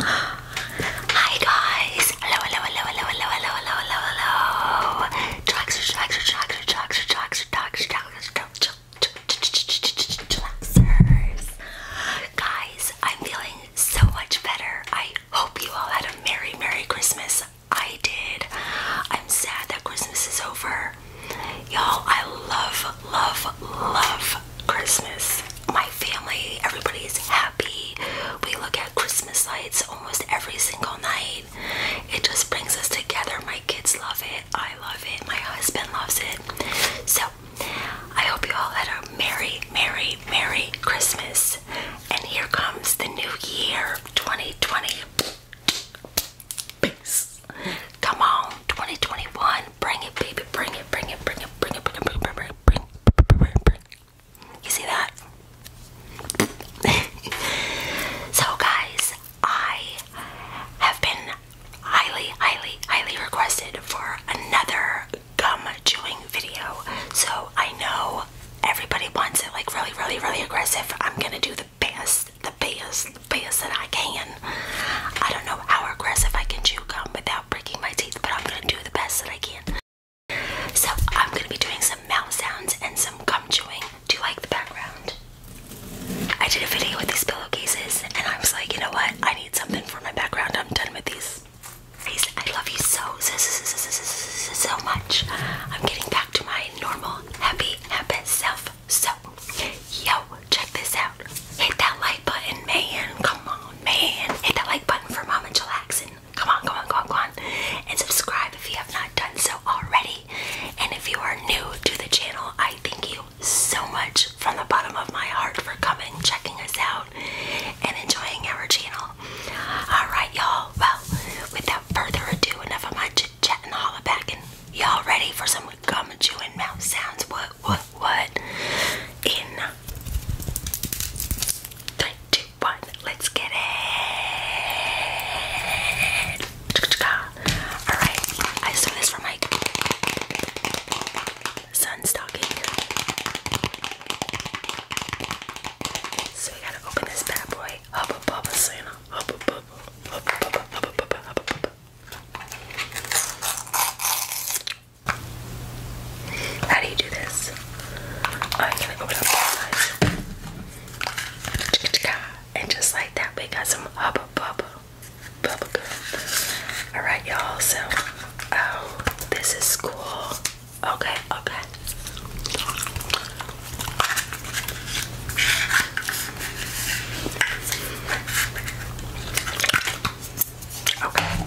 Hi guys! Hello, hello, hello, hello, hello, hello, hello, hello, hello. Traxer, traxer, traxer, traxer, traxer, traxer, traxer, traxers. Guys, I'm feeling so much better. I hope you all had a Merry, Merry Christmas. I did. I'm sad that Christmas is over. Y'all, I love, love, love Christmas. My family, everybody's happy. We look at Christmas lights almost every single night. It just brings us together. My kids love it. I love it. My husband loves it. So I hope you all had a merry, merry, merry Christmas. And here comes the new year 2020. Peace. Come on, 2021. Bring it, baby. Bring it, bring it, bring it, bring it, bring it, bring it, bring it, bring it, bring it, bring it. You see that? so, guys, I have been been highly, highly, highly requested for another gum chewing video. So I know everybody wants it like really, really, really aggressive. I'm gonna do the best, the best, the best that I can. I don't know how aggressive I can chew gum without breaking my teeth, but I'm gonna do the best that I can. So I'm gonna be doing some mouth sounds and some gum chewing. Do you like the background? I did a video with these pillowcases and I was like, you know what? I need something for my background. I'm done with these. I love you so, so, much. I'm getting back to my normal, happy, happy self. So, yo, check this out. Hit that like button, man. Come on, man. Hit that like button for Mom Mama Chillaxin. Come on, come on, come on, come on. And subscribe if you have not done so already. And if you are new to the channel, I thank you so much from the bottom of my heart for coming, checking us out, and enjoying our channel. Alright, y'all. Well, without further ado, enough of my chit chat and holla back. And y'all ready for some gum chewing mouth sounds? What, what, what? In three, two, one, let's get it. Alright, I just this for my sun stocking. So we gotta open this bad boy. Hubba bubba Santa. How do you do this? Oh, am And just like that, we got some hubba bubba. Alright, y'all, so oh, this is cool. Okay, okay. Okay.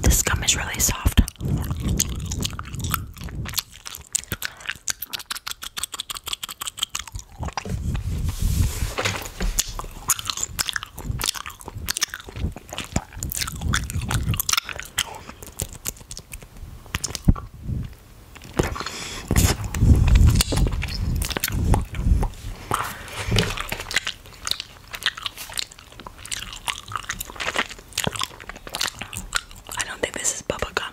This gum is really soft. I don't think this is bubble gum.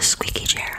Squeaky chair.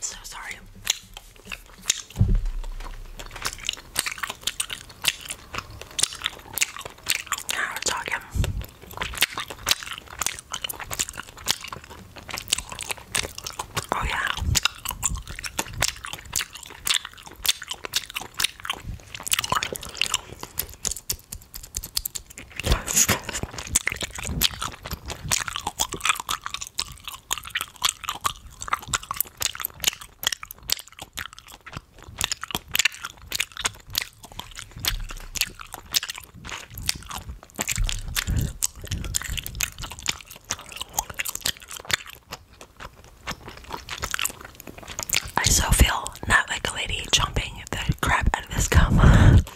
So sorry. Now we're talking. Oh yeah. I so feel not like a lady jumping the crap out of this gum.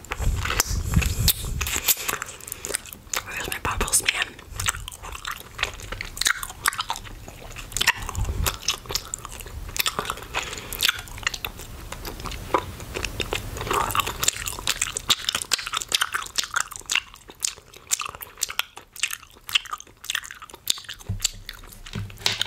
Where's my bubbles, man?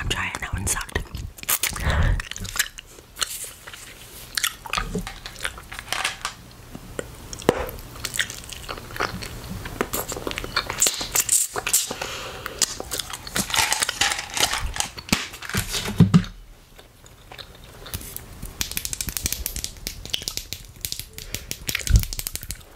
I'm trying, that one sucked.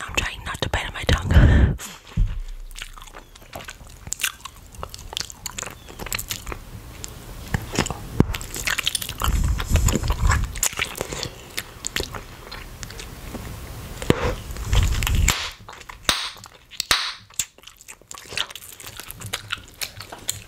I'm trying not to bite on my tongue.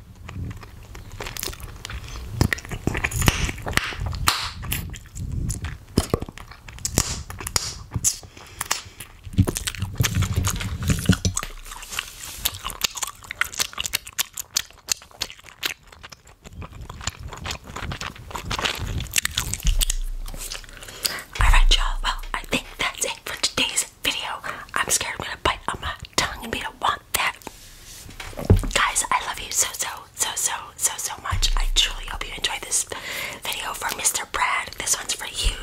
Alright, y'all. Well, I think that's it for today's video. I'm scared I'm gonna bite on my tongue and be do want that. Guys, I love you so, so, so, so, so, so much. I truly hope you enjoyed this video for Mr. Brad. This one's for you.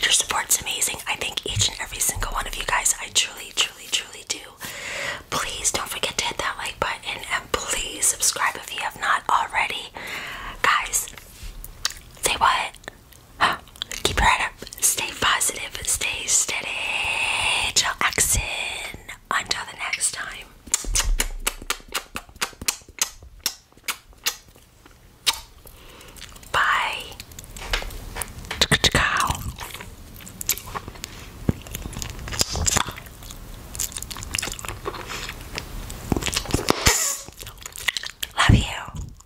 Your support's amazing. I thank each and every single one of you guys. I truly, truly, truly do. Please don't forget to hit that like button and please subscribe if you have not already. Guys, say what? Keep your head up. Stay positive. Stay steady. Jackson. Until the next time. Bye. Love you.